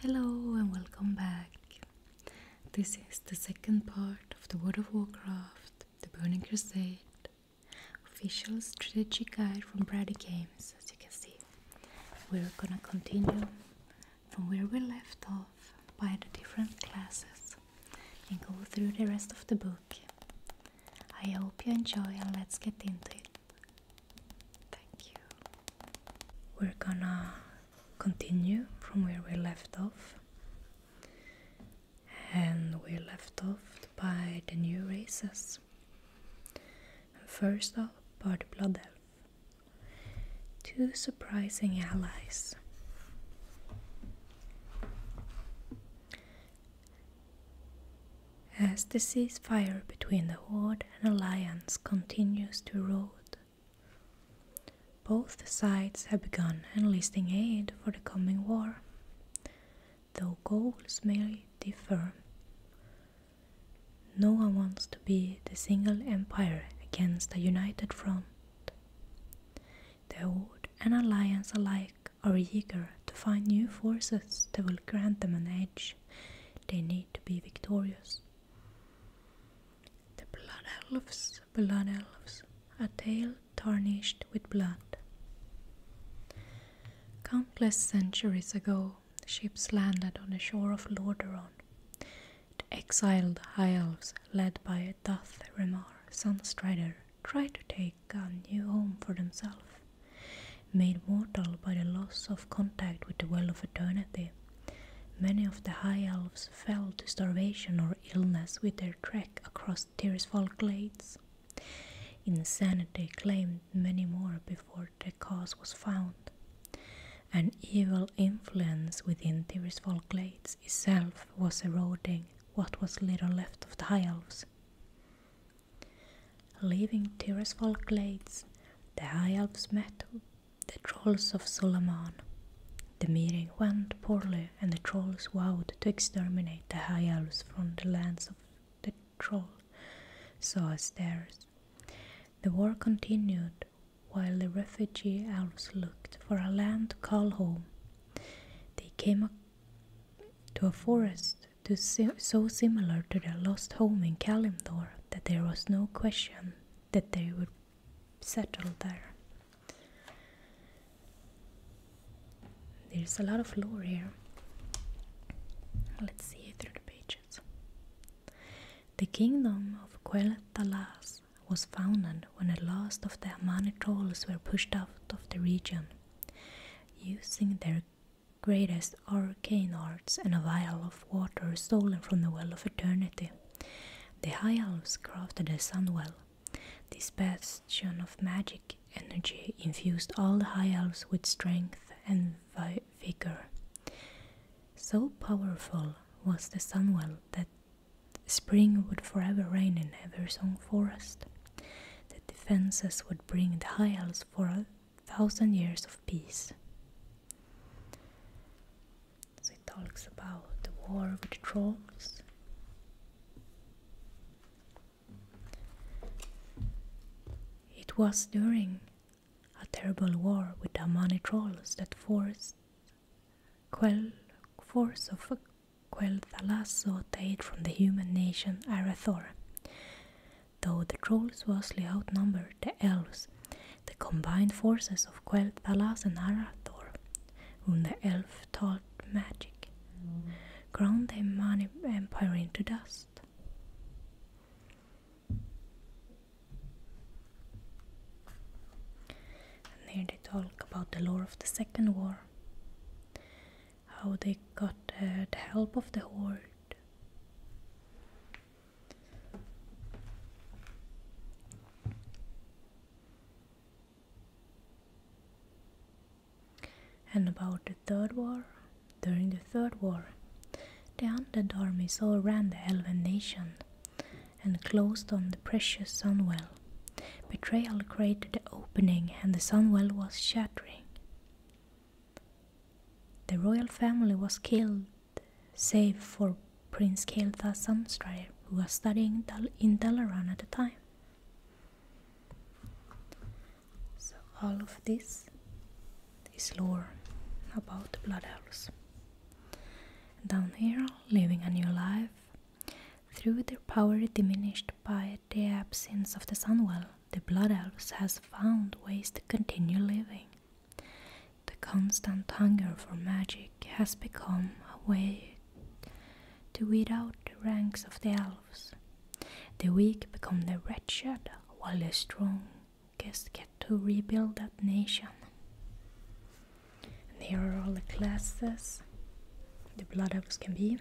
Hello and welcome back. This is the second part of the World of Warcraft, the Burning Crusade, official strategy guide from Brady Games, as you can see. We're gonna continue from where we left off by the different classes and go through the rest of the book. I hope you enjoy and let's get into it. Thank you. We're gonna continue from where we left off. And we left off by the new races. First up are the Blood Elf. Two surprising allies. As the ceasefire between the Horde an alliance continues to rote. Both sides have begun enlisting aid for the coming war, though goals may differ. No one wants to be the single empire against a united front. The Horde and Alliance alike are eager to find new forces that will grant them an edge. They need to be victorious. The blood elves, blood elves, a tale tarnished with blood. Countless centuries ago, ships landed on the shore of Lordaeron. The exiled High Elves, led by Dathrimar, Sunstrider, tried to take a new home for themselves. Made mortal by the loss of contact with the Well of Eternity, Many of the High Elves fell to starvation or illness with their trek across Tirisfal glades. Insanity claimed many more before the cause was found. An evil influence within Tirisfal glades itself was eroding what was little left of the High Elves. Leaving Tirisfal glades, the High Elves met the Trolls of Suleiman. The meeting went poorly, and the trolls vowed to exterminate the high elves from the lands of the troll, so it theirs. The war continued while the refugee elves looked for a land to call home. They came to a forest so similar to their lost home in Kalimdor that there was no question that they would settle there. There's a lot of lore here. Let's see it through the pages. The kingdom of Quel'Thalas was founded when the last of the Amani trolls were pushed out of the region. Using their greatest these arcane arts and a vial of water stolen from the well of eternity. The High Elves crafted a sunwell. well. This bastion of magic energy infused all the High Elves with strength and vigor. So powerful was the sunwell that spring would forever reign in Eversong Forest. The defenses would bring the High Elves for a thousand years of peace it talks about the war with the trolls. It was during a terrible war with the Amani trolls that forced Quel, force of Quel Thalasso from the human nation Arathor. Though the trolls vastly outnumbered the elves. The combined forces of Quelp and Arathor, whom the elf taught magic, ground the Mani empire into dust. And here they talk about the lore of the Second War, how they got uh, the help of the Horde. And about the Third War, during the Third War, the undead armies overran the Elven nation and closed on the precious Sunwell. Betrayal created the opening, and the Sunwell was shattering. The royal family was killed save for Prince Keltha Samstrir, who was studying in Dalaran at the time. So all of this is lore about the Blood Elves. Down here, living a new life, through their power diminished by the absence of the Sunwell, the Blood Elves has found ways to continue living. The constant hunger for magic has become a way to weed out the ranks of the elves. The weak become the wretched, while the strongest get to rebuild that nation. And here are all the classes the blood elves can be.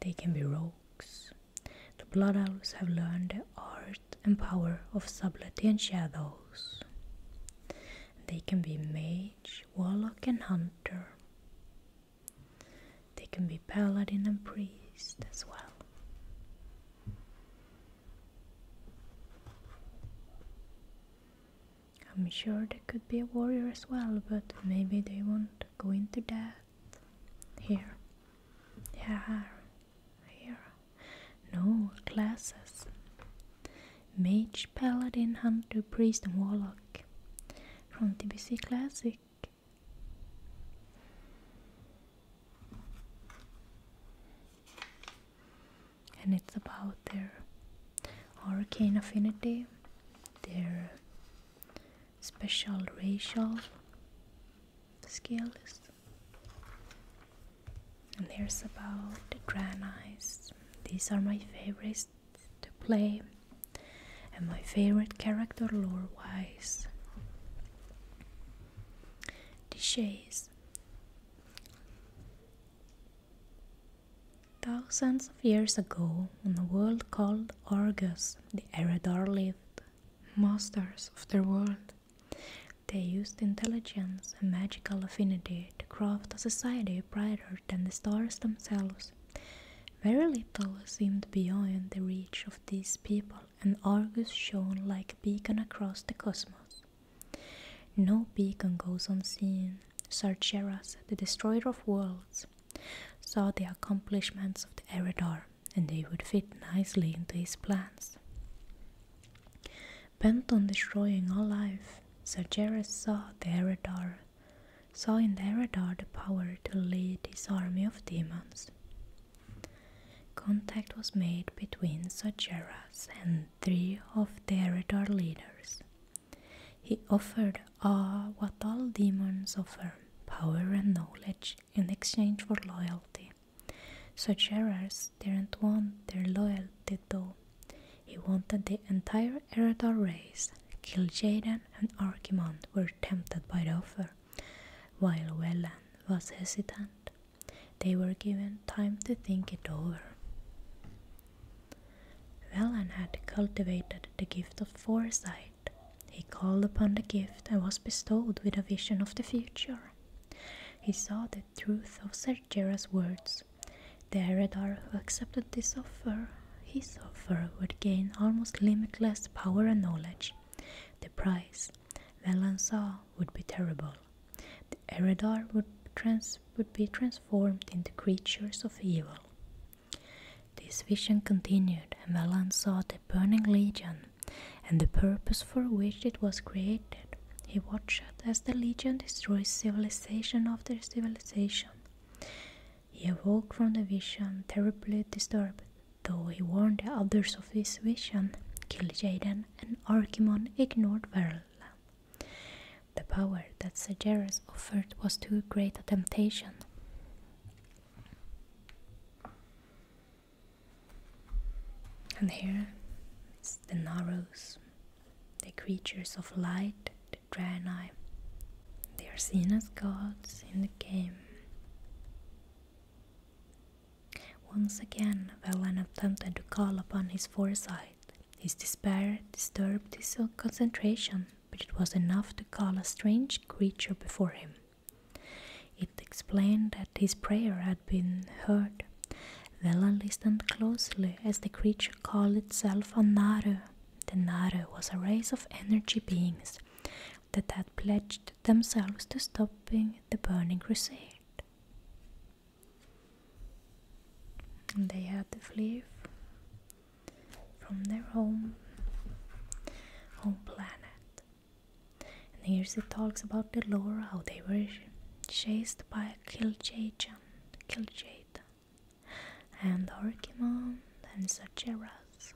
They can be rogues. The blood elves have learned art and power of subtlety and shadows. They can be mage, warlock, and hunter. They can be paladin and priest as well. I'm sure they could be a warrior as well, but maybe they won't go into that here. Yeah here. No classes. Mage, Paladin, Hunter, Priest, and Warlock from TBC Classic. And it's about their arcane affinity, their special racial skills, and here's about the Granice. These are my favorites to play and my favorite character lore wise. The Shays. Thousands of years ago, in a world called Argus, the Eredar lived, masters of their world. They used intelligence and magical affinity to craft a society brighter than the stars themselves. Very little seemed beyond the reach of these people, and Argus shone like a beacon across the cosmos. No beacon goes unseen. Sargeras, the destroyer of worlds, saw the accomplishments of the Eridar, and they would fit nicely into his plans. Bent on destroying all life, Sargeras saw the Eredar, saw in the Eredar the power to lead his army of demons. Contact was made between Sargeras and three of the Eredar leaders. He offered ah what all demons offer, power and knowledge in exchange for loyalty. Such errors didn't want their loyalty though. He wanted the entire Eredor race. Kiljaden and Archimond were tempted by the offer, while Welland was hesitant. They were given time to think it over. Welland had cultivated the gift of foresight. He called upon the gift and was bestowed with a vision of the future. He saw the truth of Sergera's words. The Eredar who accepted this offer, his offer, would gain almost limitless power and knowledge. The price, Valan saw, would be terrible. The Eredar would, be transformed into creatures of evil. This vision continued, and Valan saw the burning legion and the purpose for which it was created. He watched as the legion destroys civilization after civilization. He awoke from the vision, terribly disturbed, though he warned the others of his vision. Kil'jaeden and Archimon ignored Verla. The power that Sejaris offered was too great a temptation. And here the Narrows, the creatures of light, the Draenei. They are seen as gods in the game. Once again, Valen attempted to call upon his foresight. His despair disturbed his concentration, but it was enough to call a strange creature before him. It explained that his prayer had been heard. Vela listened closely as the creature called itself a Naru. The Naru was a race of energy beings that had pledged themselves to stopping the burning crusade. And they had to flee from their home home planet and here's it talks about the lore how they were chased by Kil'jaeden, Kil'jaeden, and Orkiman, and Zacheras.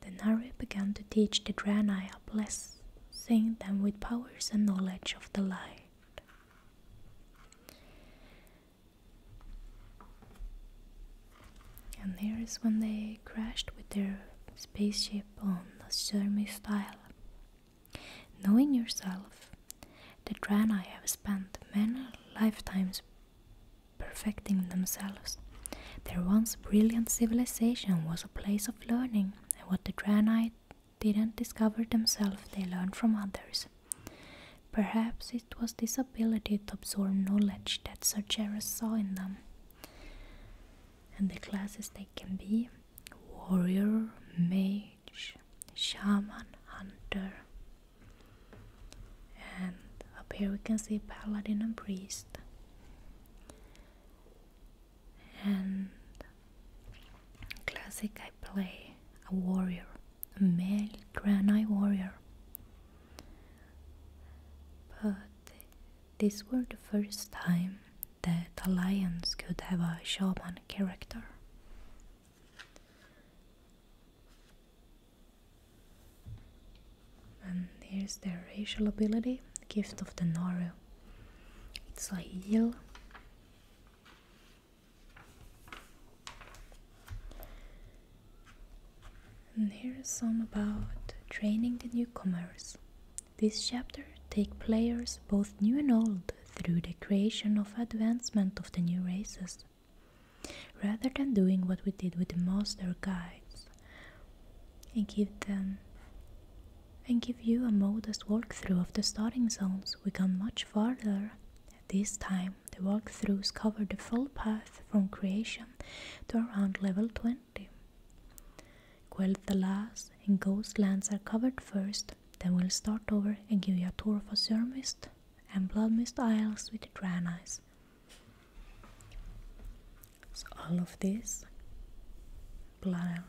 Then Nari began to teach the Draenei a blessing them with powers and knowledge of the light. And here is when they crashed with their spaceship on Surmis Island. Knowing yourself, the Drana have spent many lifetimes perfecting themselves. Their once brilliant civilization was a place of learning, and what the Drana didn't discover themselves, they learned from others. Perhaps it was this ability to absorb knowledge that Sargeras saw in them. And the classes they can be warrior, mage, shaman, hunter, and up here we can see paladin and priest. And classic, I play a warrior, a male Granite warrior. But this was the first time that Alliance could have a shaman character. And here's their racial ability, Gift of the Naru. It's a heal. And here's some about training the newcomers. This chapter take players both new and old through the creation of advancement of the new races, rather than doing what we did with the master guides and give them and give you a modest walkthrough of the starting zones. We gone much farther. This time the walkthroughs cover the full path from creation to around level 20. Well, the last and ghost lands are covered first, then we'll start over and give you a tour of Surmist and Bloodmist Isles with the Dranice. So all of this, Blood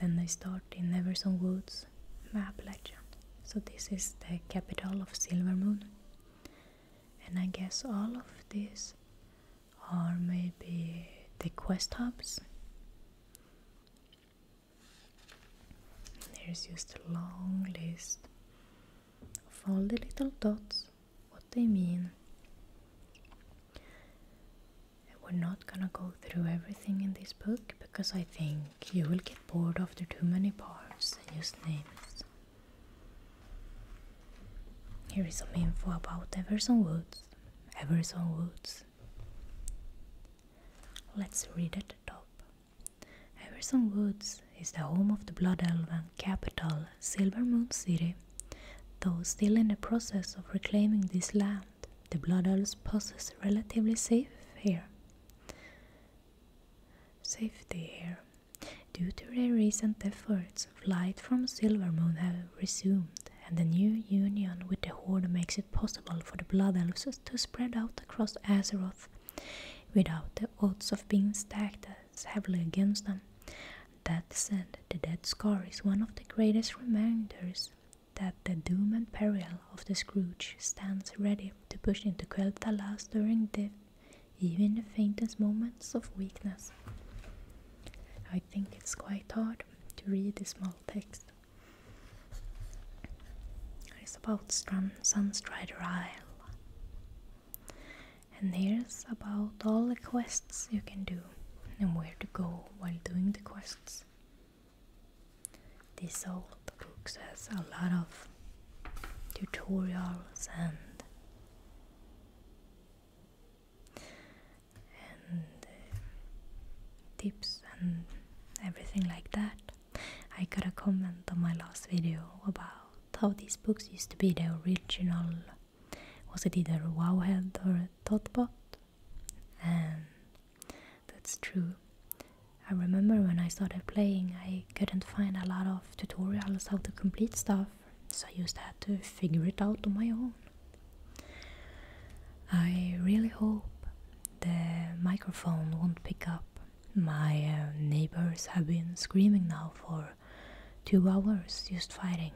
Then they start in Neverson Woods, map legend. So this is the capital of Silvermoon. And I guess all of this or maybe the quest hubs. There's just a long list of all the little dots, what they mean. I'm not gonna go through everything in this book because I think you will get bored after too many parts and just names. Here is some info about Everson Woods. Everson Woods. Let's read at the top. Everson Woods is the home of the Blood Elven capital, Silvermoon City. Though still in the process of reclaiming this land, the Blood Elves possess relatively safe here. Safety here. Due to their recent efforts flight from Silvermoon have resumed, and the new union with the Horde makes it possible for the Blood Elves to spread out across Azeroth without the odds of being stacked as heavily against them. That said, the Dead Scar is one of the greatest reminders that the doom and peril of the Scrooge stands ready to push into Quel Talas during the even the faintest moments of weakness. I think it's quite hard to read a small text. It's about Sunstrider Isle. And here's about all the quests you can do and where to go while doing the quests. This old book has a lot of tutorials and uh, tips and everything like that. I got a comment on my last video about how these books used to be the original. Was it either Wowhead or Thoughtbot? And that's true. I remember when I started playing, I couldn't find a lot of tutorials how to complete stuff so I just had to figure it out on my own. I really hope the microphone won't pick up. My uh, neighbors have been screaming now for two hours just fighting,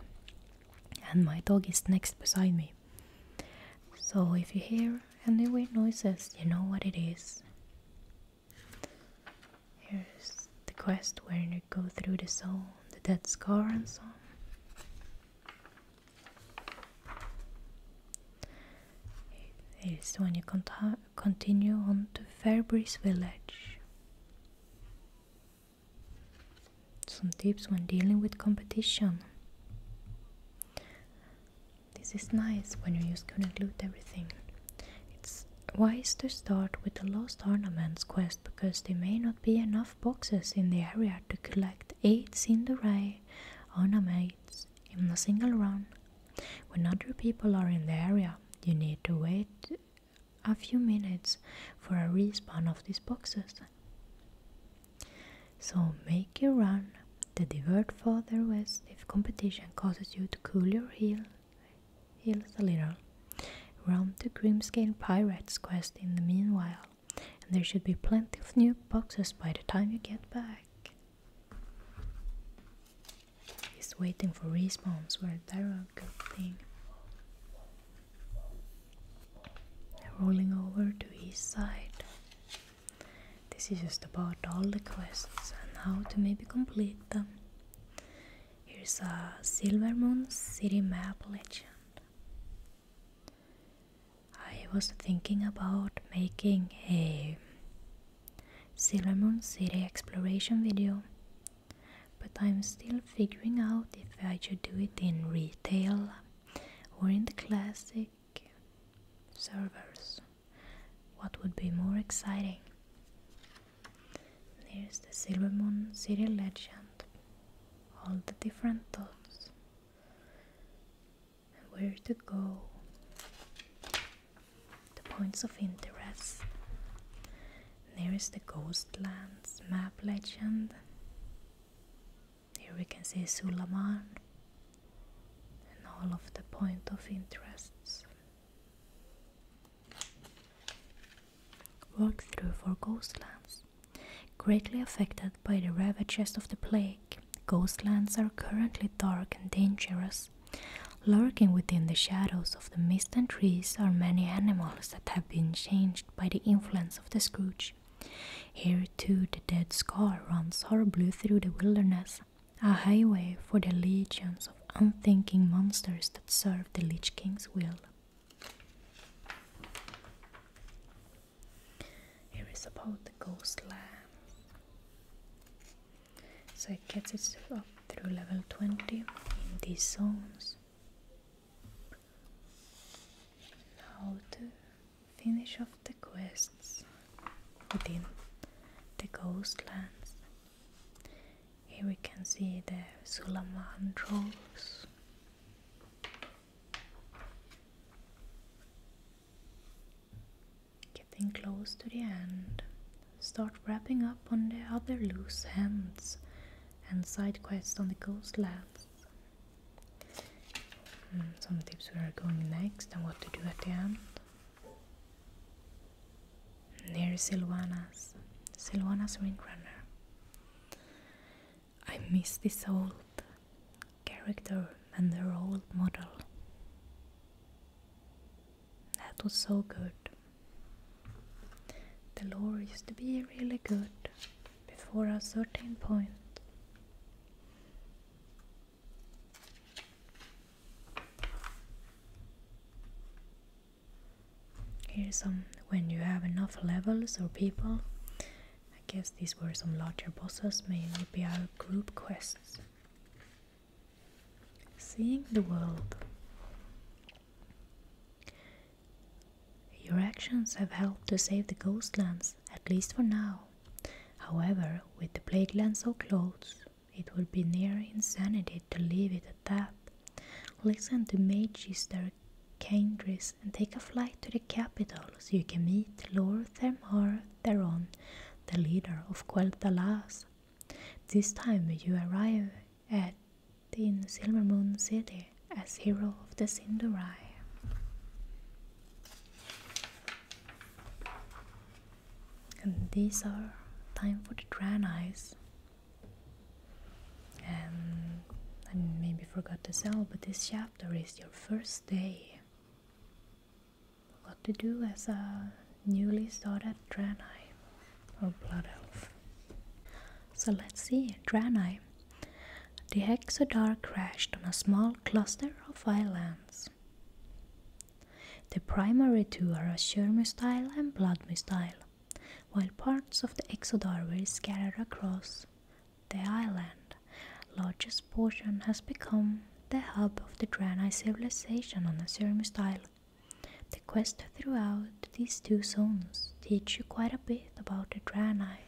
and my dog is next beside me. So if you hear any weird noises, you know what it is. Here's the quest where you go through the soul the dead scar and so on. It's when you conti continue on to Fairbreeze Village. Some tips when dealing with competition. This is nice when you use gonna glue everything. It's wise to start with the lost ornaments quest because there may not be enough boxes in the area to collect 8 Cinderay ornaments in a single run. When other people are in the area, you need to wait a few minutes for a respawn of these boxes. So make your run. The divert further west if competition causes you to cool your heels a little. Run the Grimscale Pirates quest in the meanwhile, and there should be plenty of new boxes by the time you get back. He's waiting for respawns were there a good thing. Rolling over to his side. This is just about all the quests and how to maybe complete them. Here's a Silvermoon City Map Legend. I was thinking about making a Sailor Moon City exploration video, but I'm still figuring out if I should do it in retail or in the classic servers. What would be more exciting? There's the Silver Moon City legend all the different thoughts and where to go, the points of interest. There is the Ghostlands map legend. Here we can see Sulaman and all of the point of interests. Walkthrough for Ghostlands. Greatly affected by the ravages of the plague, coastlands are currently dark and dangerous. Lurking within the shadows of the mist and trees are many animals that have been changed by the influence of the Scrooge. Here too the dead scar runs horribly through the wilderness, a highway for the legions of unthinking monsters that serve the Lich King's will. Here is about the ghost lamb. So it gets itself up through level 20 in these zones. Now to finish off the quests within the Ghostlands. Here we can see the Sulaman trolls Getting close to the end, start wrapping up on the other loose ends and side quests on the coastlands. And hmm, some tips where are going next and what to do at the end. Near Silvanas, Silvanas Windrunner. I miss this old character and their old model. That was so good. The lore used to be really good before a certain point. Here's some when you have enough levels or people. I guess these were some larger bosses, mainly our group quests. Seeing the world. Your actions have helped to save the Ghostlands, at least for now. However, with the plague lands so close, it would be near insanity to leave it at that. Listen to Mage's arcane and take a flight to the capital so you can meet Lord Thermar Theron, the leader of Quel'Dalas. This time you arrive at in Silvermoon City as hero of the Sindurai. And these are time for the Dranites. And um, I maybe forgot to tell, but this chapter is your first day. What to do as a newly started Draenei or Blood Elf. So let's see, Draenei. The Exodar crashed on a small cluster of islands. The primary two are Azure Mistile and Blood Mistile, while parts of the Exodar were scattered across the island, largest portion has become the hub of the Draenei civilization on the Ceramus Isle. The quest throughout these two zones teach you quite a bit about the Draenei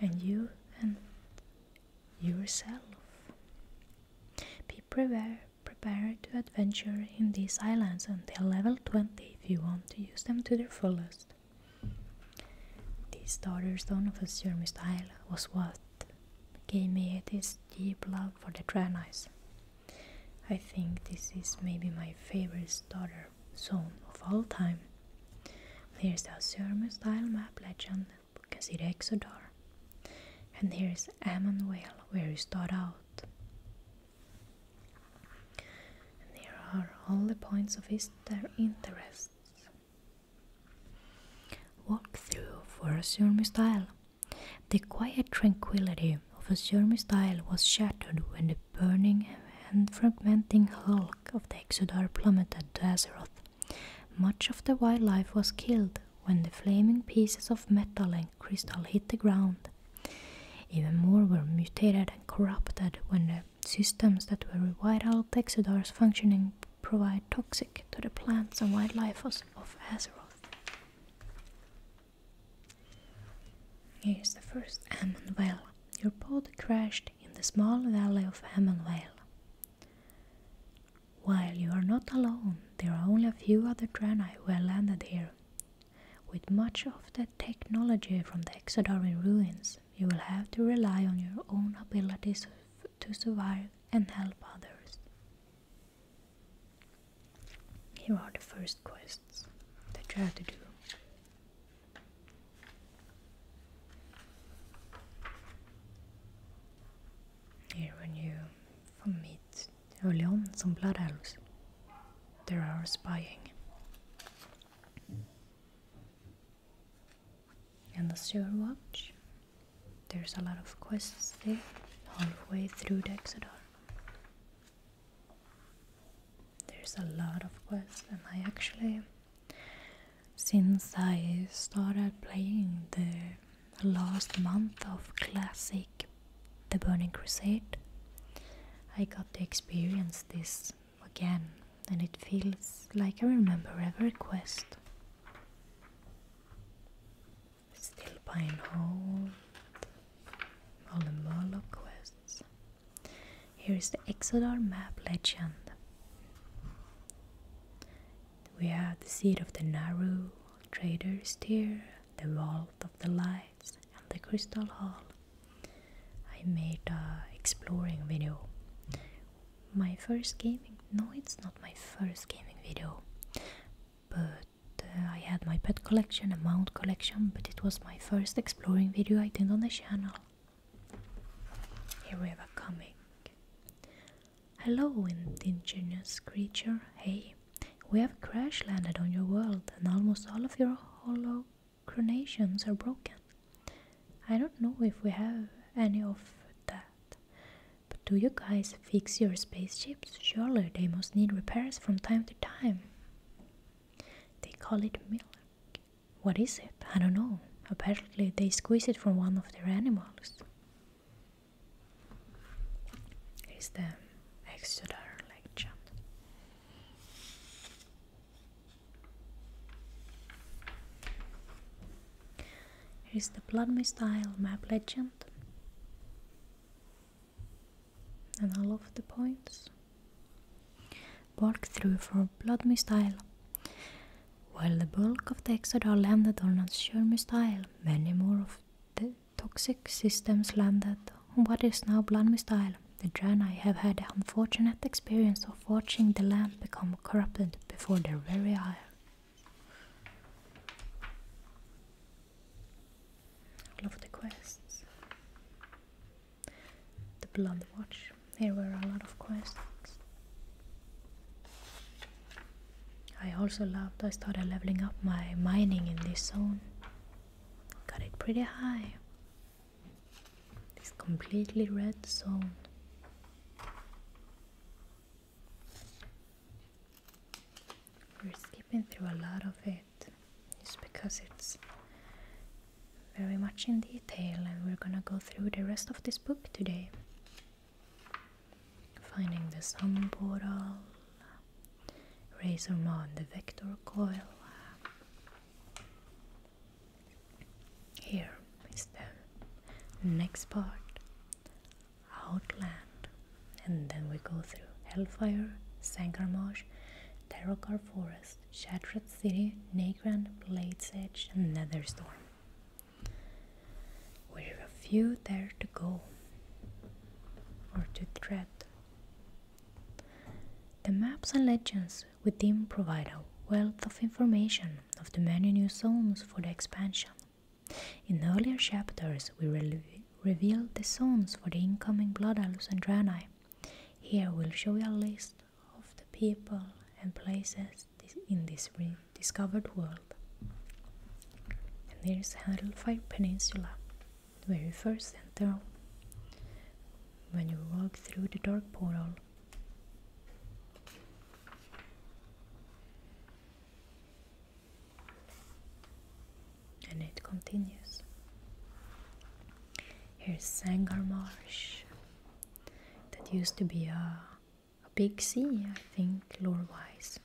and you and yourself. Be prepared, prepared to adventure in these islands until level 20 if you want to use them to their fullest. This The starstone of a Surmist Isle was what gave me this deep love for the Dranice. I think this is maybe my favorite starter zone of all time. Here's the Azurma style map legend, you can see the Exodar. And here's Amon where you start out here are all the points of their interests. Walkthrough for a Surmi style. The quiet tranquility of a Surmi style was shattered when the burning and fragmenting hulk of the Exodar plummeted to Azeroth. Much of the wildlife was killed when the flaming pieces of metal and crystal hit the ground. Even more were mutated and corrupted when the systems that were vital taxider's functioning provide toxic to the plants and wildlife of Azeroth. Here's the first Ammon Vale. Your pod crashed in the small valley of Ammon Vale. While you are not alone, there are only a few other Draenei who have landed here. With much of the technology from the Exodarian ruins, you will have to rely on your own abilities to survive and help others. Here are the first quests that you have to do. Here, when you meet early on some blood elves, there are spying and the sewer watch. There's a lot of quests there, halfway through Dexadar. There's a lot of quests, and I actually, since I started playing the last month of Classic The Burning Crusade, I got to experience this again, and it feels like I remember every quest. Still buy and all the Murloc quests. Here is the Exodar map legend. We have the seat of the Naru, Trader's Tear, the Vault of the Lights, and the Crystal Hall. I made a exploring video. My first gaming no, it's not my first gaming video, but uh, I had my pet collection, a mount collection, but it was my first exploring video I did on the channel. Here we have a comic. Hello, ingenious creature. Hey, we have crash landed on your world, and almost all of your hollow crenations are broken. I don't know if we have any of that. But do you guys fix your spaceships? Surely they must need repairs from time to time. They call it milk. What is it? I don't know. Apparently, they squeeze it from one of their animals. Is the Exeter legend. Here's the Blood Mist Isle map legend and all of the points. Walk through for Blood Mist Isle. While the bulk of the Exodar landed on Azuremist Isle, many more of the toxic systems landed on what is now Blanmist the Jannai have had the unfortunate experience of watching the land become corrupted before their very eyes. Love the quests. The Blood Watch. There were a lot of quests. I also loved, I started leveling up my mining in this zone. Got it pretty high this completely red zone. We're skipping through a lot of it just because it's very much in detail, and we're gonna go through the rest of this book today. Finding the sun portal, Razormon the vector coil, here is the next part Outland, and then we go through Hellfire, Marsh, Terrakar Forest, Shattered City, Nagran, Blade's Edge, and Netherstorm. We few there to go or to tread. The maps and legends we within provide a wealth of information of the many new zones for the expansion. In earlier chapters, we revealed the zones for the incoming Blood Alus Here we'll show you a list of the people and places in this rediscovered world. And here's Handelfire Peninsula, the very first center when you walk through the dark portal. And it continues. Here's Sangar Marsh, that used to be a, big sea, I think, lore wise.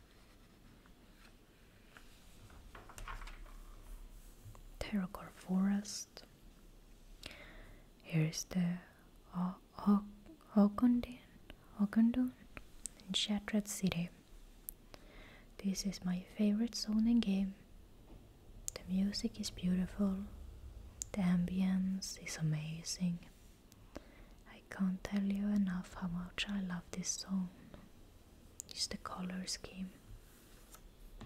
Terracor Forest. Here is the Okundun in Shattered City. This is my favorite zone in game. The music is beautiful. The ambience is amazing. I can't tell you enough how much I love this zone. Just the color scheme,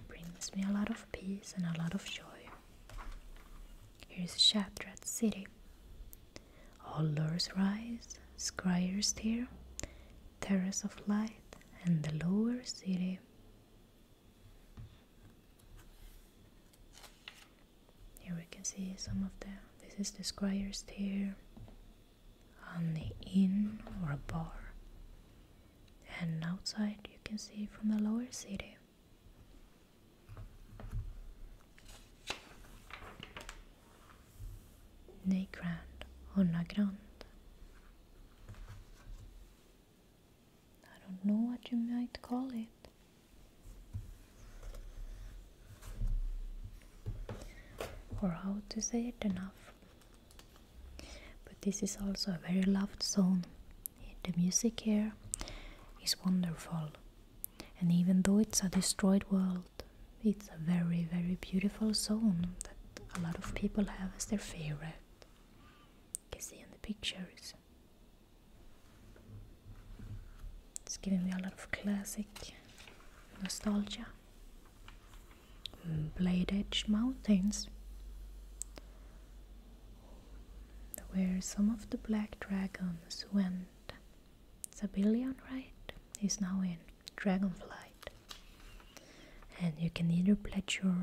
brings me a lot of peace and a lot of joy. Here is Shattered City. All lures rise, Squires steer, terrace of light, and the lower city. Here we can see some of the. This is the Squires here on the inn or a bar and outside you can see from the lower city. Neygrand or Nagrand. I don't know what you might call it. Or how to say it enough. But this is also a very loved zone. The music here is wonderful, and even though it's a destroyed world, it's a very, very beautiful zone that a lot of people have as their favorite. You can see in the pictures. It's giving me a lot of classic nostalgia. Blade Edge Mountains where some of the black dragons went. Zabillion, right? Is now in Dragonflight. And you can either pledge your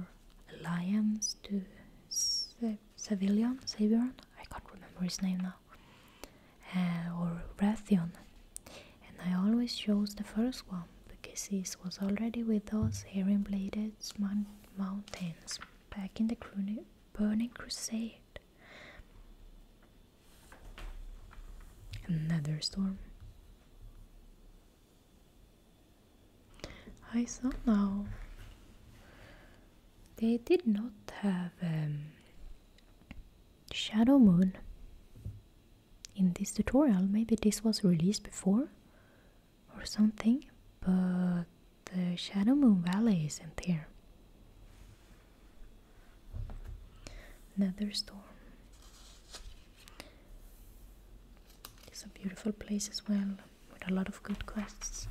alliance to Savillion, Savion, I can't remember his name now, uh, or Rathion. And I always chose the first one because he was already with those here in mountains back in the burning crusade. Another storm. I saw now. They did not have um, Shadow Moon in this tutorial. Maybe this was released before or something, but the Shadow Moon Valley isn't here. Another storm. It's a beautiful place as well, with a lot of good quests.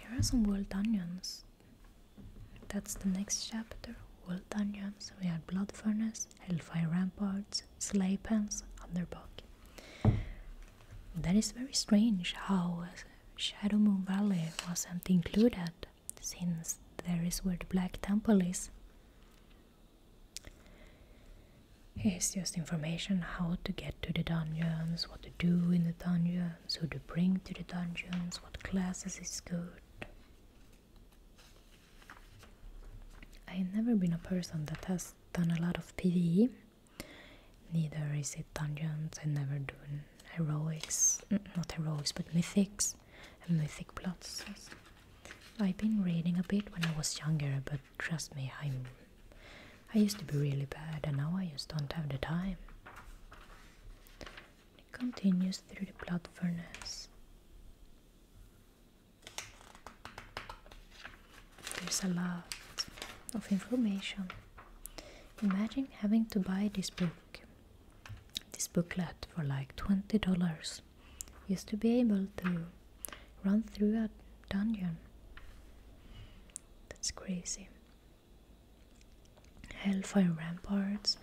Here are some wild onions. That's the next chapter. World dungeons, we have Blood Furnace, Hellfire Ramparts, Slay Pens, Underbog. That is very strange how Shadow Moon Valley wasn't included, since there is where the Black Temple is. Here's just information how to get to the dungeons, what to do in the dungeons, who to bring to the dungeons, what classes is good, I've never been a person that has done a lot of PvE. Neither is it dungeons. I never do heroics, mm, not heroics, but mythics and mythic plots. I've been reading a bit when I was younger, but trust me, I'm. I used to be really bad, and now I just don't have the time continues through the blood furnace. There's a lot of information. Imagine having to buy this book, this booklet for like $20 used to be able to run through a dungeon. That's crazy. Hellfire Ramparts,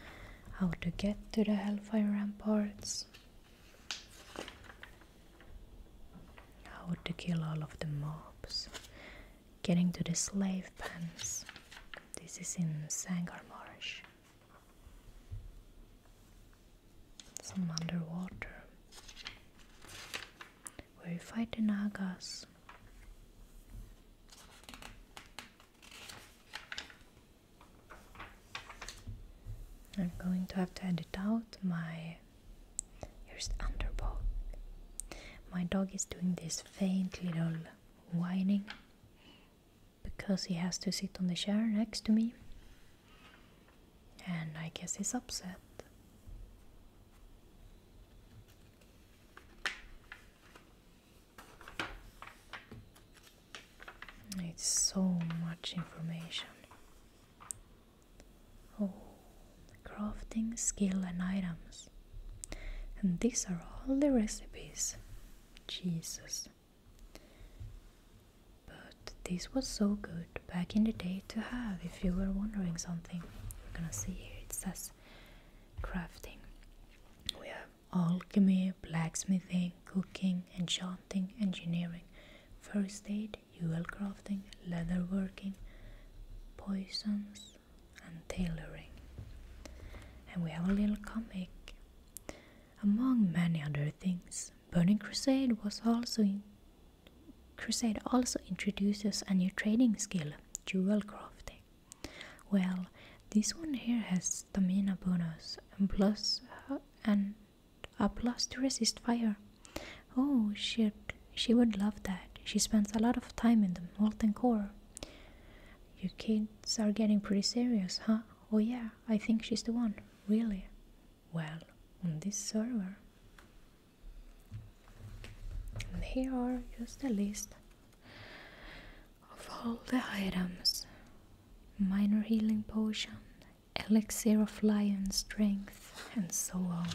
how to get to the Hellfire Ramparts, how to kill all of the mobs, getting to the slave pens. This is in Sangar Marsh. Some underwater where you fight the Nagas. I'm going to have to edit out my. Here's the My dog is doing this faint little whining because he has to sit on the chair next to me. And I guess he's upset. It's so much information. Oh, crafting skill and items. And these are all the recipes. Jesus. But this was so good back in the day to have if you were wondering something. You're gonna see here it says crafting. We have alchemy, blacksmithing, cooking, enchanting, engineering, first aid, jewel crafting, leatherworking, poisons, and tailoring. And we have a little comic. Among many other things, Burning Crusade was also Crusade also introduces a new trading skill, jewel crafting. Well, this one here has stamina bonus and and a plus to resist fire. Oh shit, she would love that. She spends a lot of time in the molten core. You kids are getting pretty serious, huh? Oh yeah, I think she's the one. Really? Well, on this server. And here are just a list of all the items, minor healing potion, elixir of lion strength, and so on.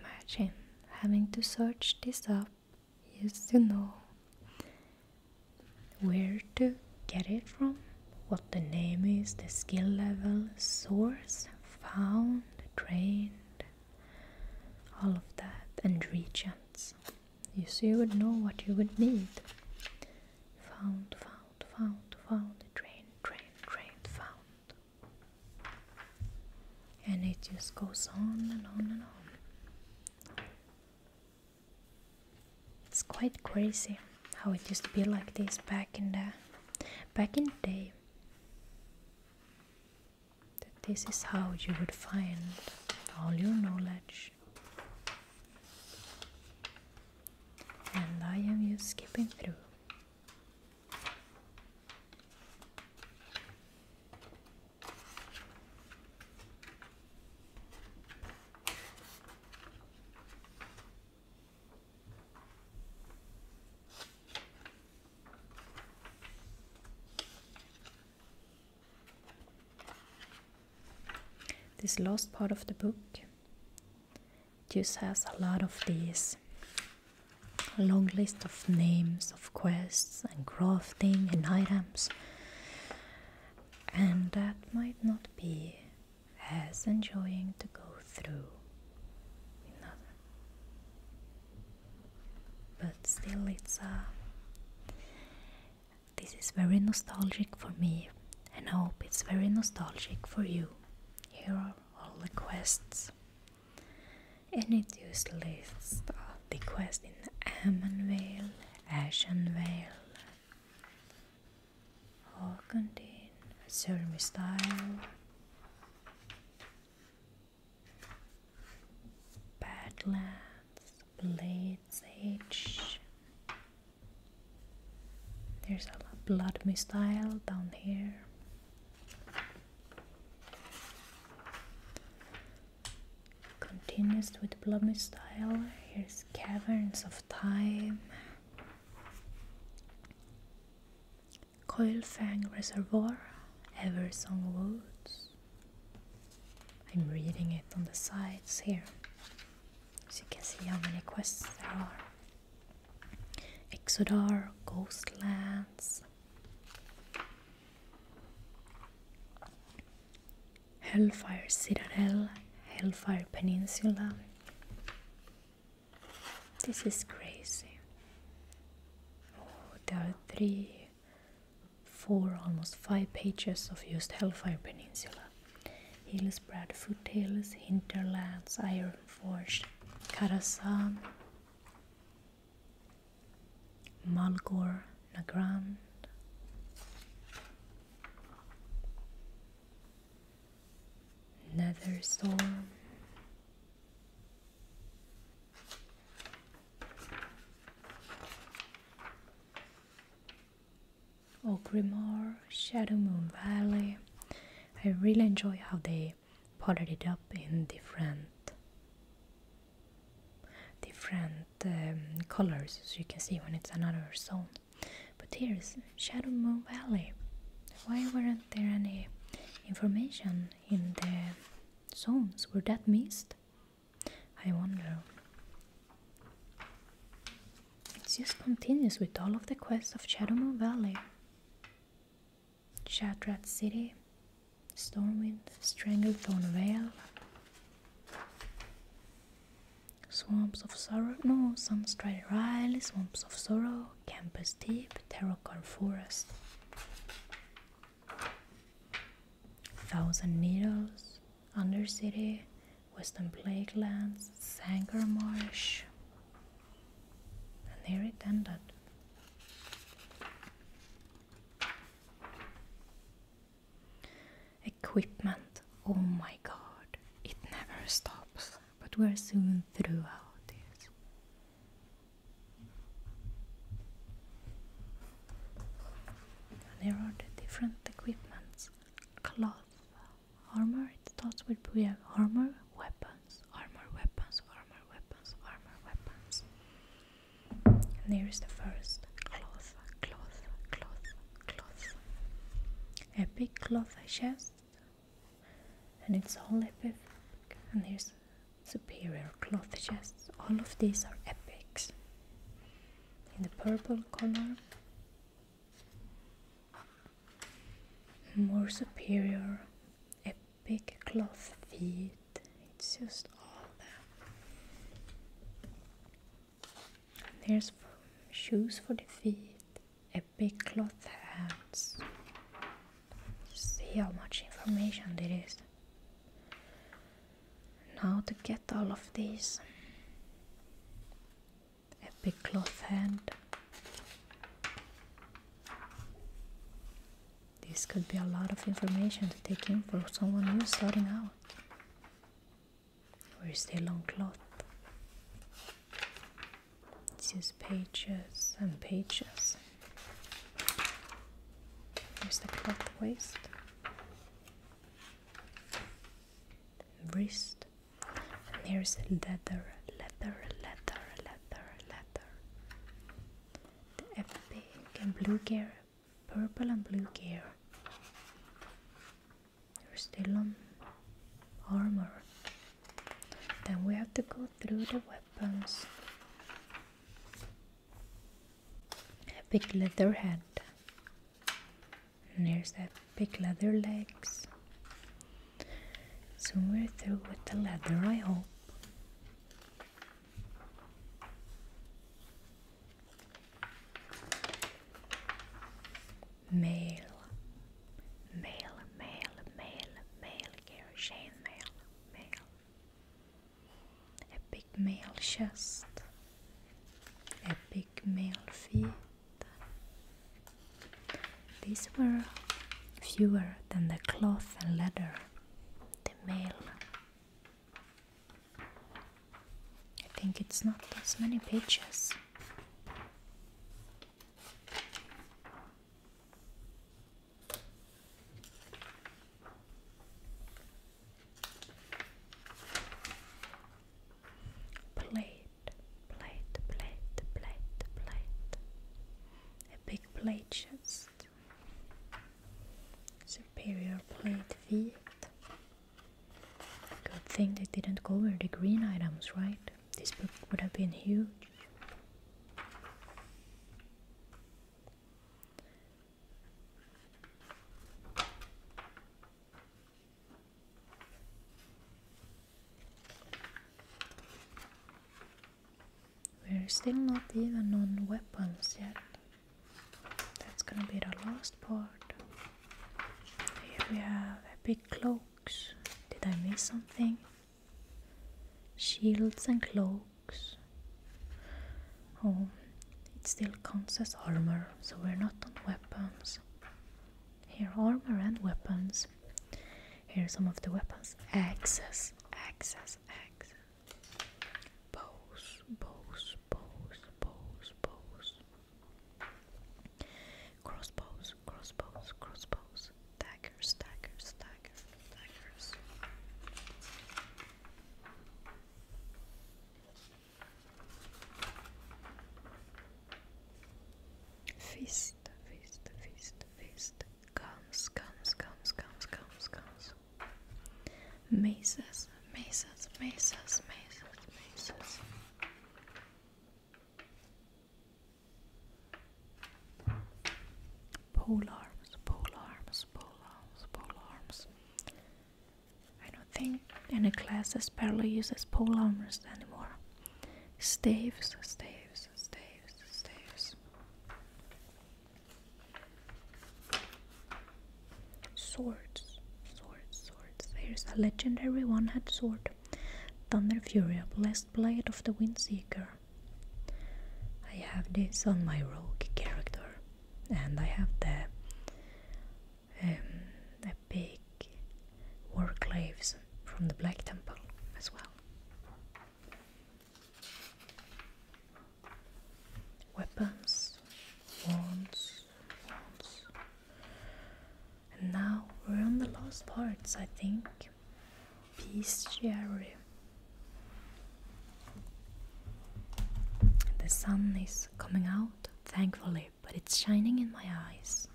Imagine having to search this up just to know where to get it from, what the name is, the skill level, source, found, trained, all of that, and regents. You see, you would know what you would need. Found, found, found, found, train, train, train, found. And it just goes on and on and on. It's quite crazy how it used to be like this back in the back in the day that this is how you would find all your knowledge. And I am just skipping through. This last part of the book just has a lot of these long list of names of quests and crafting and items, and that might not be as enjoying to go through but still it's uh, this is very nostalgic for me and I hope it's very nostalgic for you. Here are all the quests and it just lists uh, the quest in Ammonvale, Ashenvale, Hawkendine, Surmy Style Badlands, Blades Edge. There's a blood missile down here. Continues with blood missile. Here's Caverns of Time. Coilfang Reservoir, Ever Song Woods. I'm reading it on the sides here so you can see how many quests there are. Exodar, Ghostlands, Hellfire Citadel, Hellfire Peninsula. This is crazy. Oh, there are three four, almost five pages of just Hellfire Peninsula. Hills, Bradfoot Hills, Hinterlands, Iron forged, Karasan, Malgor, Nagrand. Netherstorm. Oakrimore, oh, Shadow Moon Valley. I really enjoy how they potted it up in different different um, colors As you can see when it's another zone. But here's Shadow Moon Valley. Why weren't there any information in the zones? Were that missed? I wonder. It just continues with all of the quests of Shadowmoon Valley. Shatrat City, Stormwind, Stranglethorn Vale, Swamps of Sorrow, no, Sunstride Riley, Swamps of Sorrow, Campus Deep, Terracorn Forest. Thousand Needles, Undercity, Western Plaguelands, Sanger Marsh, and here it ended. Equipment, oh my god, it never stops, but we're soon through all this. And here are the different equipments. Cloth, armor, it starts with Booyah. Armor, weapons, armor, weapons, armor, weapons, armor, weapons. And here is the first cloth, cloth, cloth, cloth. A big cloth chest. And it's all epic. And here's superior cloth chests. All of these are epics. In the purple color, more superior epic cloth feet. It's just all there. There's shoes for the feet, epic cloth hands. See how much information there is. Now to get all of these, a big cloth hand. This could be a lot of information to take in for someone new starting out. Where is the long cloth? It's just pages and pages. There's the cloth waist, wrist, and there's a leather, leather, leather, leather, leather. The epic and blue gear, purple and blue gear. There's still on armor. Then we have to go through the weapons big leather head and there's that big leather legs So we're through with the leather I hope male male male male male Kerosene male male a big male chest, a big male feet. These were fewer than the cloth and leather, the mail. I think it's not as many pages. Plate, plate, plate, plate, plate. A big plate chest. Superior plate feet. Good thing they didn't cover the green items, right? This book would have been huge. We're still not even on weapons yet. That's gonna be the last part. Here we have epic cloaks. Did I miss something? Shields and cloaks books. Oh, it still counts as armor, so we're not on weapons. Here, armor and weapons. Here are some of the weapons. Axes, axes, axes. Bows, bows, bows, bows, bows. Crossbows, crossbows, crossbows. Daggers, daggers, daggers, daggers. Fist, fist, fist, fist. Comes, comes, comes, comes, comes, comes. Mesas, mesas, mesas, mesas, mesas. Pole arms, pole arms, pole arms, pole arms. I don't think any classes barely uses pole arms anymore. Staves, staves, staves, staves. Swords, swords, swords. There's a legendary one-head sword. Thunder Fury, Blessed Blade of the Windseeker. I have this on my rogue character and I have the um, the big warclaves from the Black Temple as well. Weapons, wands, wands. And now we're on the last parts, I think. Peace, Bestiary. The sun is coming out, thankfully, but it's shining in my eyes.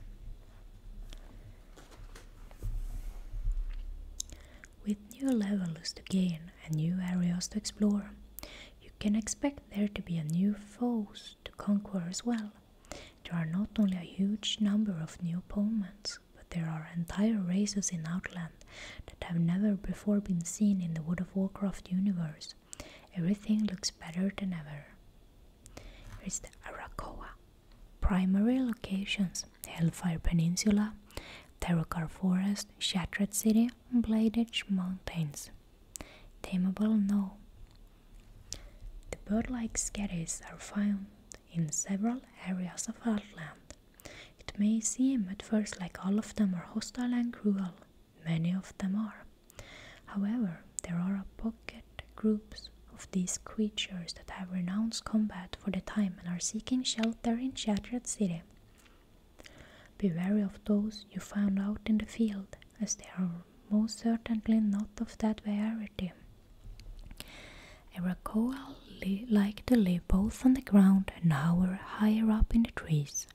With new levels to gain and new areas to explore, you can expect there to be a new foes to conquer as well. There are not only a huge number of new opponents, but there are entire races in Outland that have never before been seen in the World of Warcraft universe. Everything looks better than ever. Here is the Arakoa. Primary locations Hellfire Peninsula, Terrakar Forest, Shattered City, and Mountains. Tameable? No. The bird like skeddies are found in several areas of Outland, it may seem at first like all of them are hostile and cruel. Many of them are. However, there are a pocket groups of these creatures that have renounced combat for the time and are seeking shelter in Shattered City. Be wary of those you find out in the field, as they are most certainly not of that variety. Arakoa li like the both on the ground and hover higher up in the trees.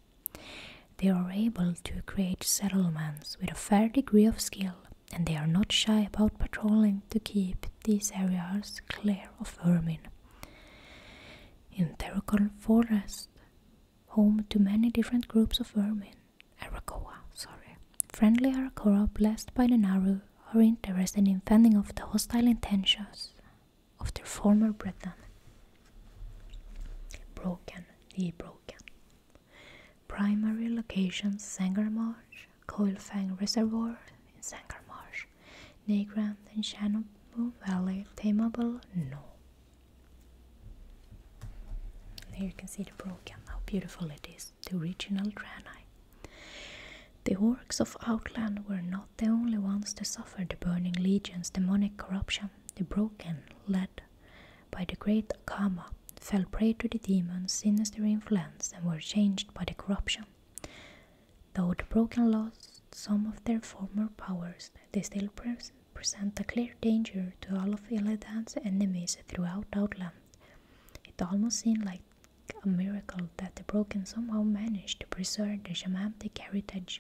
They are able to create settlements with a fair degree of skill, and they are not shy about patrolling to keep these areas clear of vermin. In Terracon Forest, home to many different groups of vermin, Arakoa, sorry, friendly Arakoa blessed by the Naru are interested in finding out the hostile intentions of their former Breton. Broken, the Broken. Primary locations Marsh, Coilfang Reservoir in Marsh, Negrand in Shannon Valley, Tameable No. There you can see the Broken, how beautiful it is, the original granite. The works of Outland were not the only ones to suffer the Burning Legion's demonic corruption. The broken, led by the great Kama, fell prey to the demon's sinister influence and were changed by the corruption. Though the broken lost some of their former powers, they still present a clear danger to all of Illidan's enemies throughout Outland. It almost seemed like a miracle that the broken somehow managed to preserve their shamanic heritage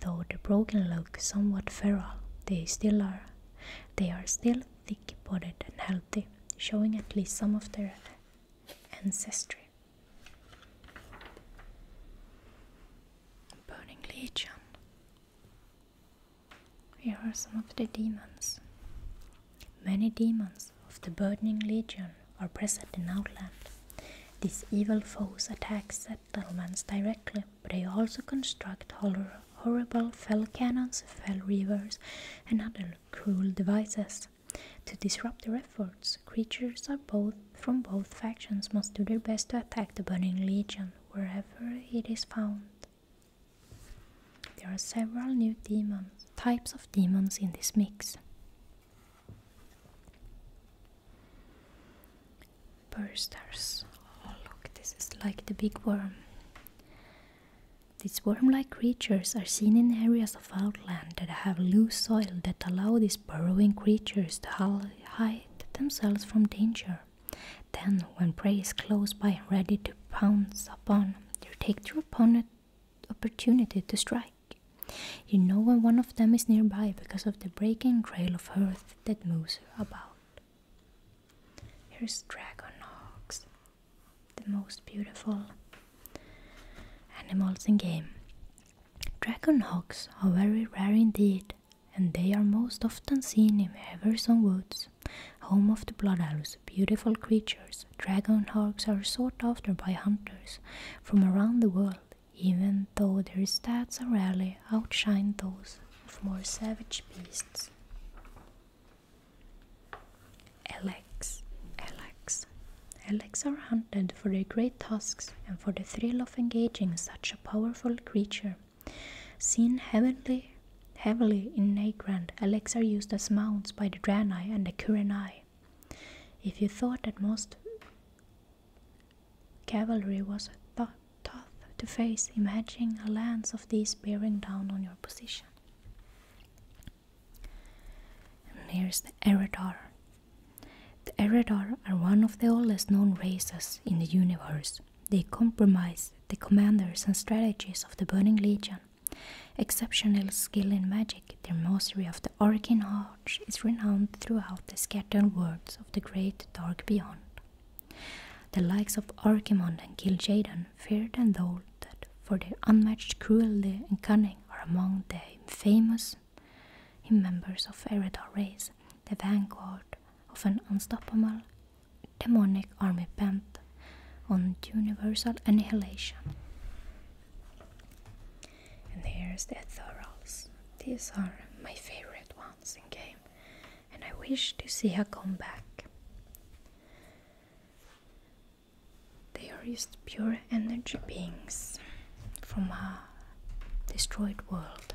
Though the broken look somewhat feral, they still are. They are still thick-bodied and healthy, showing at least some of their ancestry. Burning Legion. Here are some of the demons. Many demons of the Burning Legion are present in Outland. These evil foes attack settlements directly, but they also construct horrible fell cannons, fell rivers, and other cruel devices. To disrupt their efforts, creatures from both factions must do their best to attack the Burning Legion wherever it is found. There are several new demons, types of demons in this mix. Bursters. Oh, look, this is like the big worm. These worm like creatures are seen in areas of outland that have loose soil that allow these burrowing creatures to hide themselves from danger. Then, when prey is close by ready to pounce upon, they take the opponent opportunity to strike. You know when one of them is nearby because of the breaking trail of earth that moves about. Here's dragon hawks, the most beautiful animals in game. Dragon hawks are very rare indeed, and they are most often seen in Everson Woods, home of the blood owls, beautiful creatures. Dragon hawks are sought after by hunters from around the world, even though their stats are rarely outshine those of more savage beasts. Alex, Alex, Alex are hunted for their great tusks and for the thrill of engaging such a powerful creature. Seen heavily, heavily in Nagrand, Alex are used as mounts by the Draenei and the Kurenai. If you thought that most Cavalry was tough to face. Imagine a lance of these bearing down on your position. And the Eradar. The Eradar are one of the oldest known races in the universe. They comprise the commanders and strategists of the Burning Legion, exceptional skill in magic, their mastery of the arcane is renowned throughout the scattered worlds of the great dark beyond. The likes of Archimond and Gil'jaeden, feared and lauded for their unmatched cruelty and cunning, are among the famous members of Eredar race, the vanguard of an unstoppable demonic army bent on universal annihilation. And here's the Ethereals. These are my favorite ones in game, and I wish to see her come back. They are just pure energy beings from a destroyed world.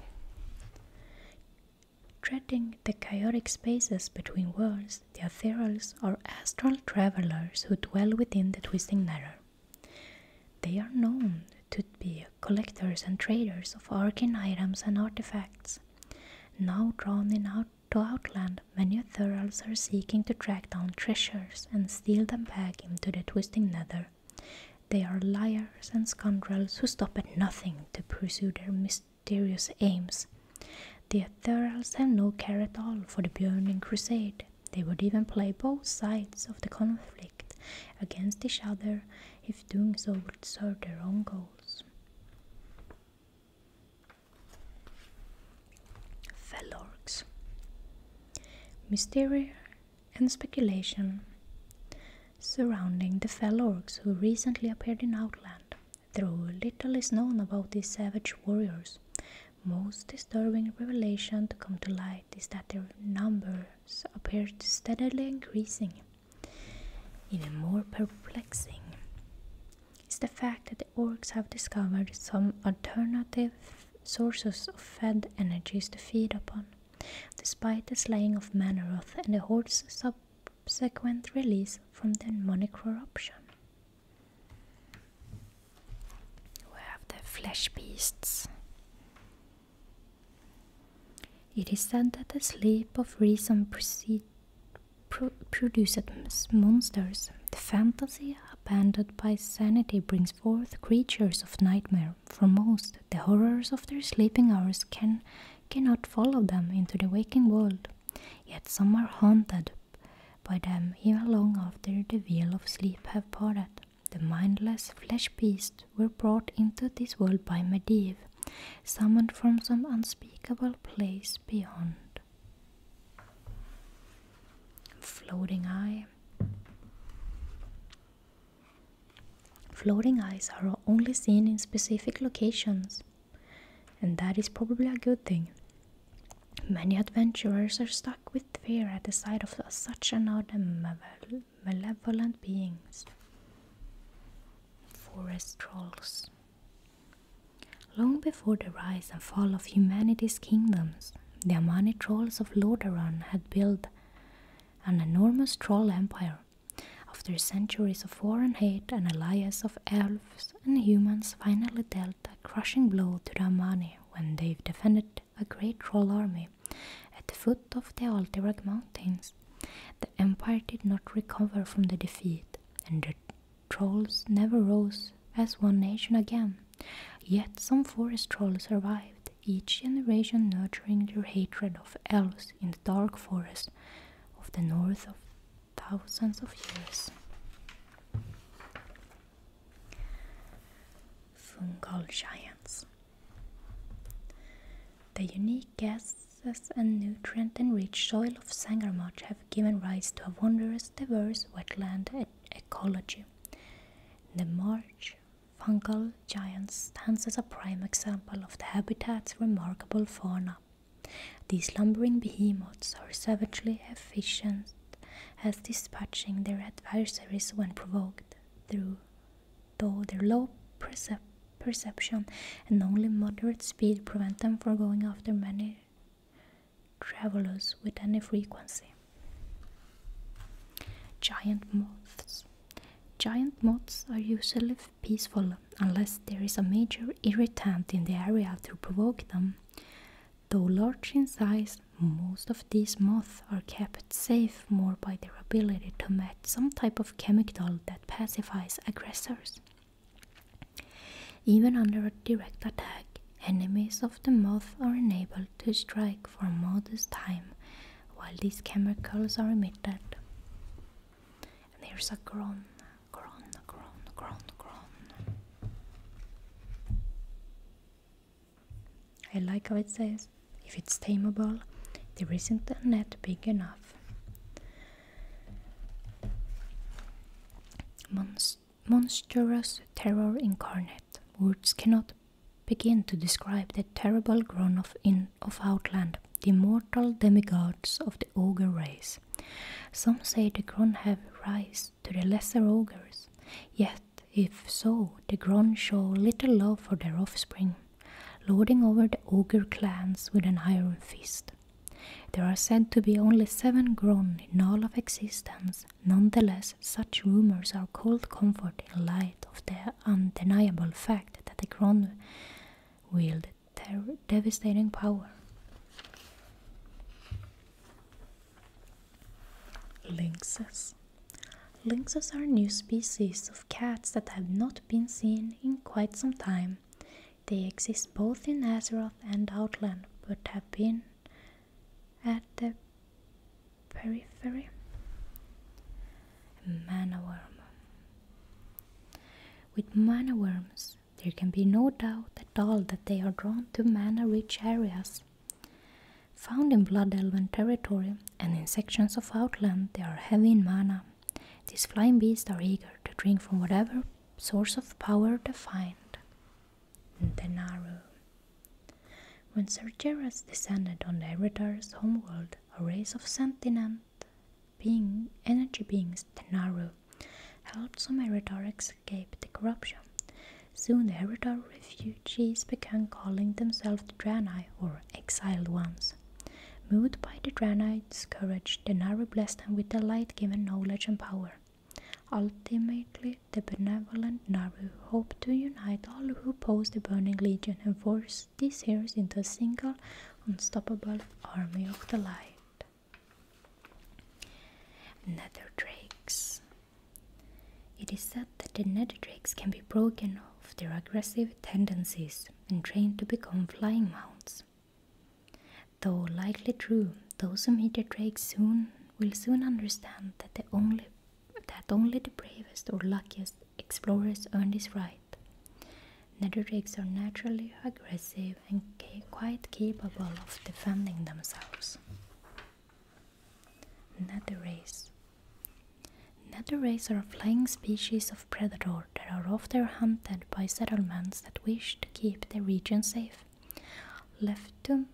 Treading the chaotic spaces between worlds, the Ethereals are astral travelers who dwell within the twisting mirror. They are known to be collectors and traders of arcane items and artifacts. Now drawn in out to Outland, many Thurals are seeking to track down treasures and steal them back into the twisting nether. They are liars and scoundrels who stop at nothing to pursue their mysterious aims. The Thurals have no care at all for the burning crusade. They would even play both sides of the conflict against each other if doing so would serve their own goals. Fellorgs Mystery and speculation surrounding the Fellorgs who recently appeared in Outland. Though little is known about these savage warriors, most disturbing revelation to come to light is that their numbers appear steadily increasing. Even more perplexing is the fact that the orcs have discovered some alternative sources of fed energies to feed upon, despite the slaying of Manoroth and the horde's subsequent release from demonic corruption. We have the flesh beasts. It is said that the sleep of reason produces monsters. The fantasy abandoned by sanity brings forth creatures of nightmare. For most, the horrors of their sleeping hours can cannot follow them into the waking world. Yet some are haunted by them even long after the veil of sleep have parted. The mindless flesh beasts were brought into this world by Medivh, summoned from some unspeakable place beyond. Floating eye. Floating eyes are only seen in specific locations, and that is probably a good thing. Many adventurers are stuck with fear at the sight of such another male malevolent beings. Forest trolls. Long before the rise and fall of humanity's kingdoms, the Amani trolls of Lordaeron had built an enormous troll empire. After centuries of war and hate, an alliance of elves and humans finally dealt a crushing blow to the Amani when they defended a great troll army at the foot of the Altirag mountains. The empire did not recover from the defeat, and the trolls never rose as one nation again. Yet some forest trolls survived, each generation nurturing their hatred of elves in the dark forest of the north of thousands of years. Fungal giants. The unique gases and nutrient-enriched soil of Marsh have given rise to a wondrous diverse wetland ecology. The marsh fungal giant stands as a prime example of the habitat's remarkable fauna. These lumbering behemoths are savagely efficient as dispatching their adversaries when provoked through though their low perception and only moderate speed prevent them from going after many travelers with any frequency. Giant moths. Giant moths are usually peaceful unless there is a major irritant in the area to provoke them. Though large in size, most of these moths are kept safe more by their ability to match some type of chemical that pacifies aggressors. Even under a direct attack, enemies of the moth are unable to strike for a modest time while these chemicals are emitted. And a gron, gron, gron, gron, gron. I like how it says if it's tameable, there isn't a net big enough. monstrous terror incarnate. Words cannot begin to describe the terrible groan of, in, of Outland, the immortal demigods of the ogre race. Some say the gron have rise to the lesser ogres, yet if so, the Gron show little love for their offspring, lording over the ogre clans with an iron fist. There are said to be only seven Gron in all of existence, nonetheless, such rumors are cold comfort in light of the undeniable fact that the Gron wield devastating power. Lynxes Lynxes are new species of cats that have not been seen in quite some time. They exist both in Azeroth and Outland, but have been at the periphery. Mana With mana worms, there can be no doubt at all that they are drawn to mana rich areas Found in blood elven territory and in sections of outland, they are heavy in mana. These flying beasts are eager to drink from whatever source of power they find. The Naru. When Sergeras descended on the Eretar's homeworld, a race of sentient being, energy beings, the Naru, helped some Eretar escape the corruption. Soon the Heredar refugees began calling themselves Draenei or exiled ones. Moved by the Draenei's courage, the Nari blessed them with the light given knowledge and power. Ultimately, the benevolent Nari hoped to unite all who opposed the Burning Legion and force these heroes into a single, unstoppable army of the light. Nether Drakes. It is said that the drakes can be broken of their aggressive tendencies and trained to become flying mounts. Though likely true, those who meet the drakes soon will soon understand that only the bravest or luckiest explorers earn this right. Netterdrakes are naturally aggressive and quite capable of defending themselves. Natares Natares are flying species of predator that are often hunted by settlements that wish to keep the region safe. Left to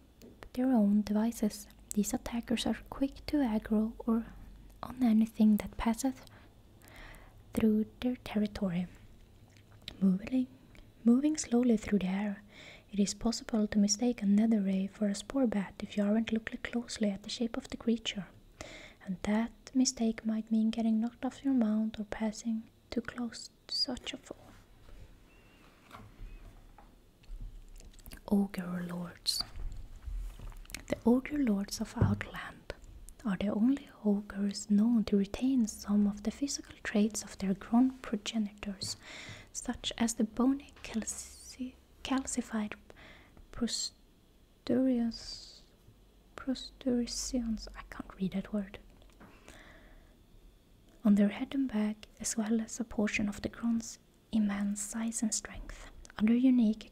their own devices, these attackers are quick to aggro or on anything that passes through their territory. Moving, slowly through the air, it is possible to mistake a nether ray for a spore bat if you aren't looking closely at the shape of the creature, and that mistake might mean getting knocked off your mount or passing too close to such a foe. Ogre Lords The Ogre Lords of Outland are the only ogres known to retain some of the physical traits of their grand progenitors, such as the bony calci calcified prostuberans, prostuberans, I can't read that word, on their head and back, as well as a portion of the crown's immense size and strength. Other unique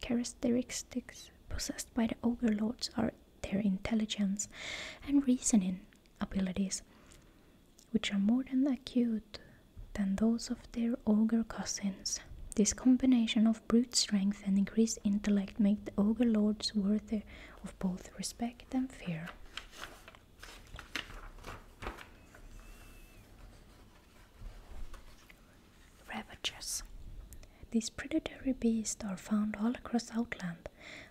characteristics possessed by the ogre lords are their intelligence and reasoning abilities which are more than acute than those of their ogre cousins. This combination of brute strength and increased intellect make the ogre lords worthy of both respect and fear. Ravagers. These predatory beasts are found all across Outland,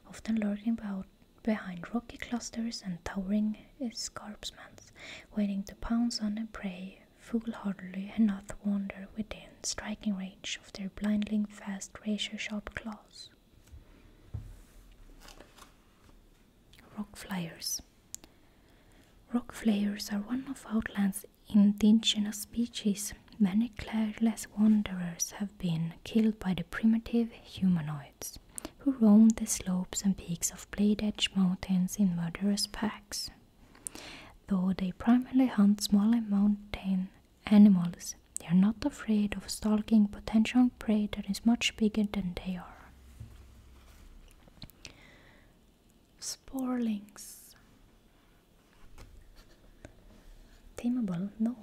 often lurking about behind rocky clusters and towering escarpments, waiting to pounce on a prey foolhardily enough wander within striking range of their blinding fast razor-sharp claws. Rock flyers. Rock flyers are one of Outland's indigenous species. Many careless wanderers have been killed by the primitive humanoid who roamed the slopes and peaks of blade edge mountains in murderous packs. Though they primarily hunt smaller mountain animals, they are not afraid of stalking potential prey that is much bigger than they are. Sporlings. Tameable? No,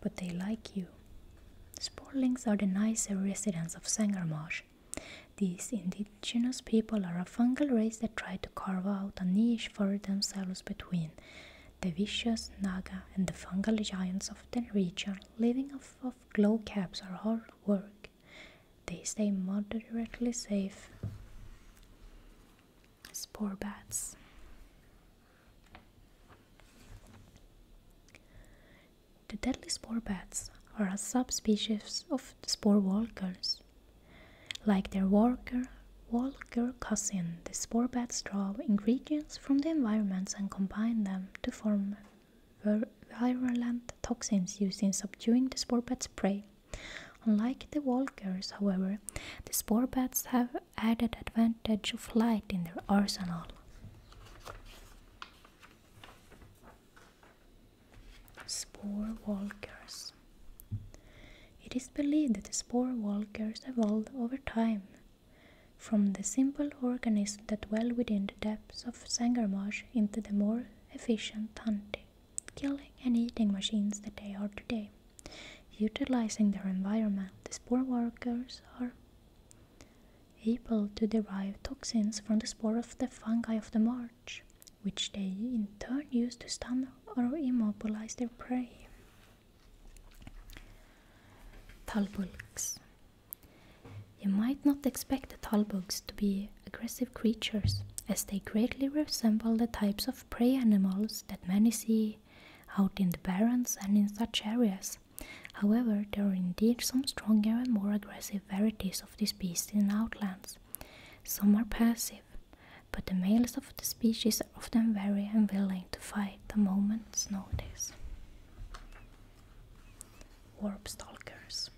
but they like you. Sporlings are the nicer residents of Sangarmash, these indigenous people are a fungal race that try to carve out a niche for themselves between the vicious Naga and the fungal giants of the region, living off glowcaps are hard work. They stay moderately safe. Spore bats. The deadly spore bats are a subspecies of spore walkers. Like their walker, walker cousin, the spore bats draw ingredients from the environment and combine them to form vir virulent toxins used in subduing the spore bat's prey. Unlike the walkers, however, the spore bats have added advantage of flight in their arsenal. Spore walkers. It is believed that the spore walkers evolved over time from the simple organisms that dwell within the depths of Sangarmarsh into the more efficient hunting, killing, and eating machines that they are today. Utilizing their environment, the spore walkers are able to derive toxins from the spore of the fungi of the march, which they in turn use to stun or immobilize their prey. Talbulks. You might not expect the talbuks to be aggressive creatures, as they greatly resemble the types of prey animals that many see out in the barrens and in such areas. However, there are indeed some stronger and more aggressive varieties of this beast in outlands. Some are passive, but the males of the species are often very unwilling to fight the moment notice. Warp stalkers.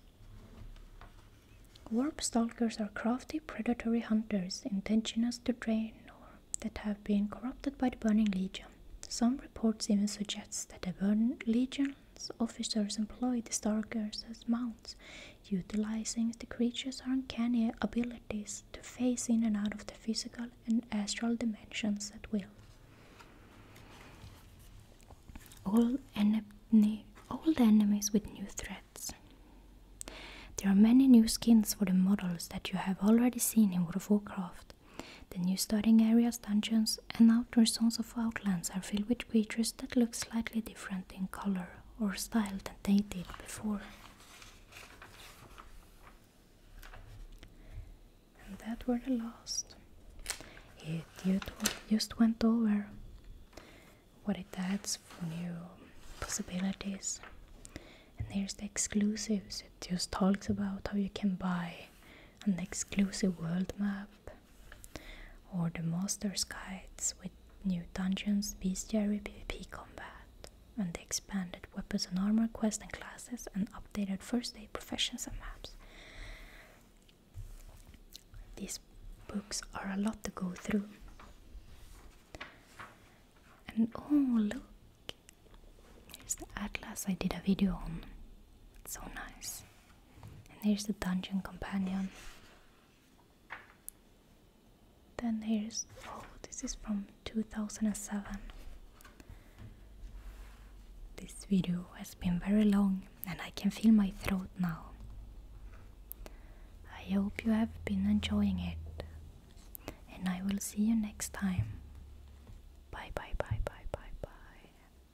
Warp stalkers are crafty predatory hunters indigenous to drain or that have been corrupted by the Burning Legion. Some reports even suggest that the Burning Legion officers employed the stargazers as mounts, utilizing the creature's uncanny abilities to phase in and out of the physical and astral dimensions at will. All old enemies with new threats. There are many new skins for the models that you have already seen in World of Warcraft. The new starting areas, dungeons, and outdoor zones of Outlands are filled with creatures that look slightly different in color or style than they did before. And that were the last. It just went over what it adds for new possibilities. And there's the exclusives. It just talks about how you can buy an exclusive world map or the Monster's Guides with new dungeons, bestiary, PvP combat, and the expanded weapons and armor quests and classes, and updated first aid professions and maps. These books are a lot to go through. And oh, look! Here's the atlas I did a video on. so nice. And here's the dungeon companion. Then here's oh, this is from 2007. This video has been very long and I can feel my throat now. I hope you have been enjoying it and I will see you next time. Bye bye bye bye bye bye.